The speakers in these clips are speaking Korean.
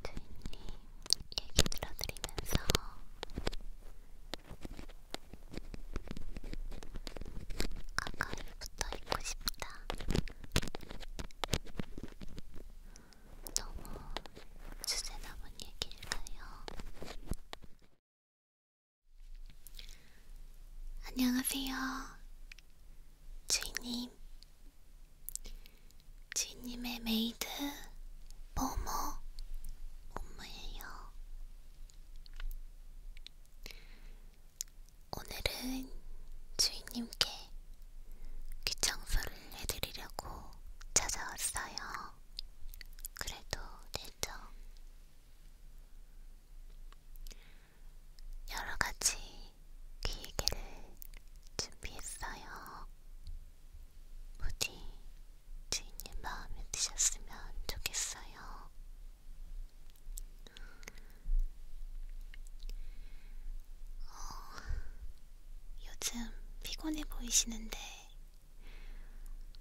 주인님 얘기 들어드리면서 가까이 붙어 있고 싶다. 너무 주제넘은 얘기일까요? 안녕하세요. 주인님. 주인님의 메이드 모모 모모예요. 오늘은 주인님께 귀청소를 해드리려고 찾아왔어요. 그래도 되죠? 여러가지 기계를 준비했어요. 부디 주인님 마음에 드셨으면 좋겠어요. 어, 요즘 피곤해 보이시는데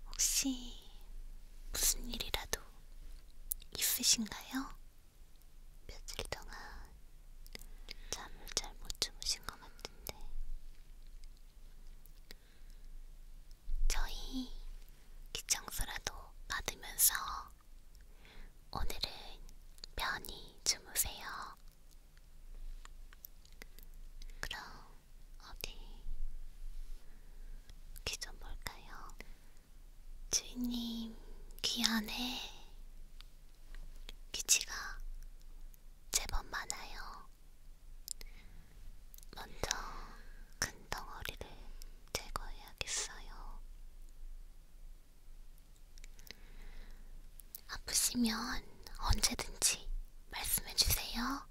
혹시 무슨 일이라도 분도 있으신가요? 며칠 동안 잠을 잘 못 주무신 것 같은데 저희 기청소라도 받으면서 오늘은 편히 주무세요. 그럼 어디 귀 좀 볼까요? 주인님 귀 안에 귀치가 제법 많아요. 먼저 큰 덩어리를 제거해야겠어요. 아프시면 언제든지 말씀해주세요.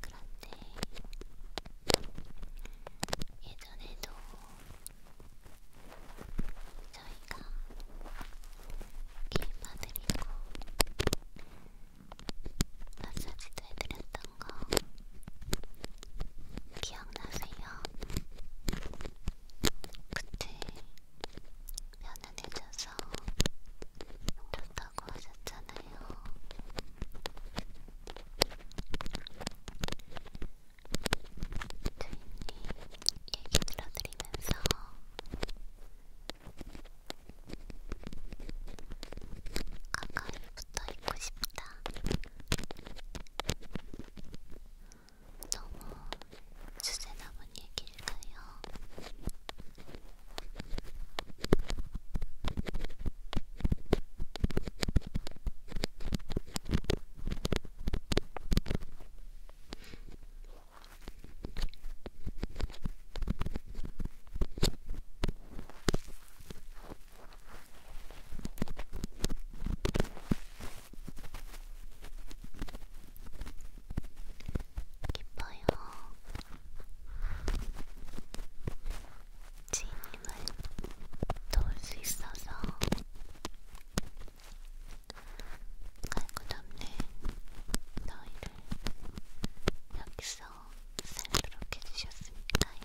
그런데 예전에도 저희가 길봐드리고 마사지도 해드렸던 거 기억나세요? 그때 편안해져서 좋다고 하셨잖아요. 주인님 얘기 들어드리면서 가까이 붙어 있고 싶다. 너무 주제 남은 얘기일까요? 기뻐요. 지인님을 도울 수 있어서 갈고 덮는 너희를 여기서 살도록 해주셨으니까요.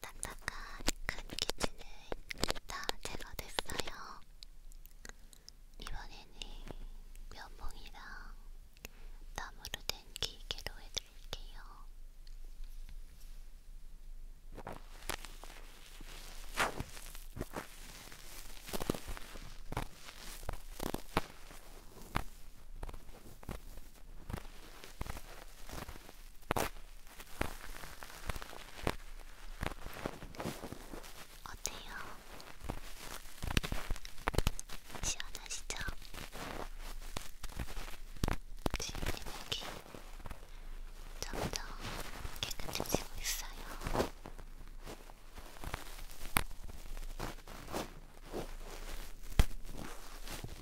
딱딱한 큰 기지는 다 제거됐어요. 이번에는 면봉이랑 나무로 된 기계로 해드릴게요. 어때요? 시원하시죠? 지금 여기 점점 깨끗해지고 있어요.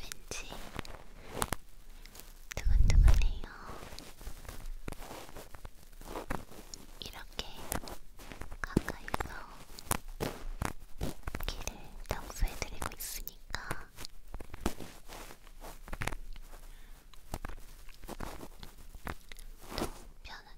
왠지 두근두근해요. 이렇게 가까이서 귀를 청소해드리고 있으니까 또 편하게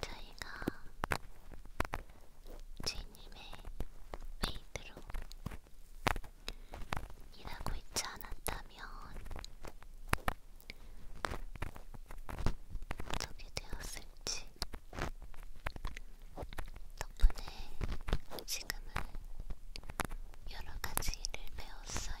저희가 주인님의 메이드로 일하고 있지 않았다면 되었으면 어떻게 되었을지 덕분에 지금은 여러 가지 일을 배웠어요.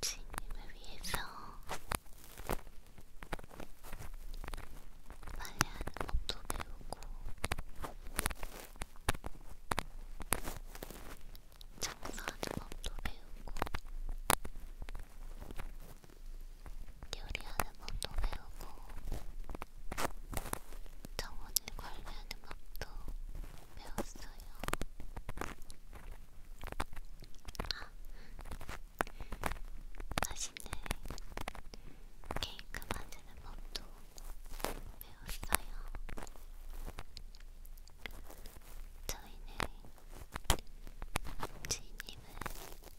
주인님을 위해서 빨래하는 법도 배우고 청소하는 법도 배우고 요리하는 법도 배우고 정원을 관리하는 법도 배웠어요. 아, 다시는 케이크 만드는 법도 배웠어요. 저희는 주인님은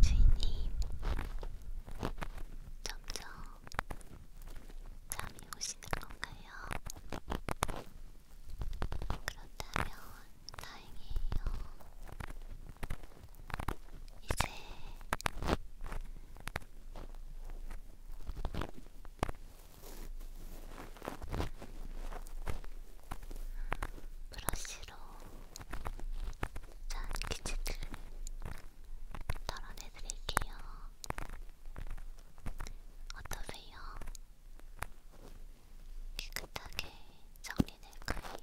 주인님, 점점 잠이 오시는 건가요? 그렇다면 다행이에요. 이제 브러쉬로 짠 기체들을 덜어내드릴게요. 어떠세요? 깨끗하게 정리될 거예요.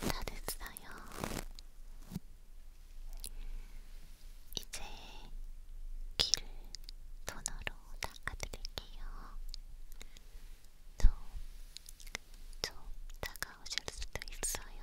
다 됐어요. 이제 귀를 토너로 닦아드릴게요. 좀, 좀 다가오실 수도 있어요.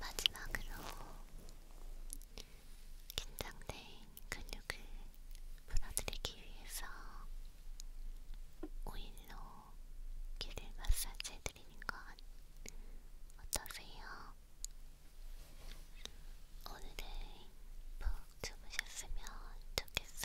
마지막으로 긴장된 근육을 풀어드리기 위해서 오일로 귀를 마사지해 보여드리니까 어떠세요? 오늘은 푹 주무셨으면 좋겠어요.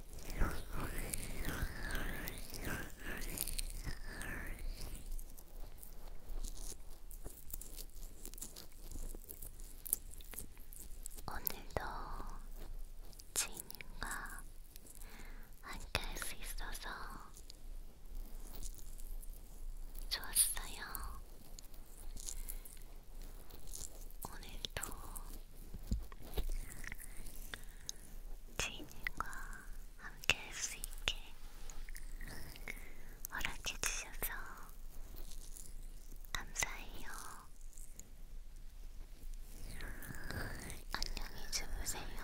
오늘도 지인과 함께 할 수 있어서 좋았어요. 오늘도 주인님과 함께 할 수 있게 허락해 주셔서 감사해요. 안녕히 주무세요.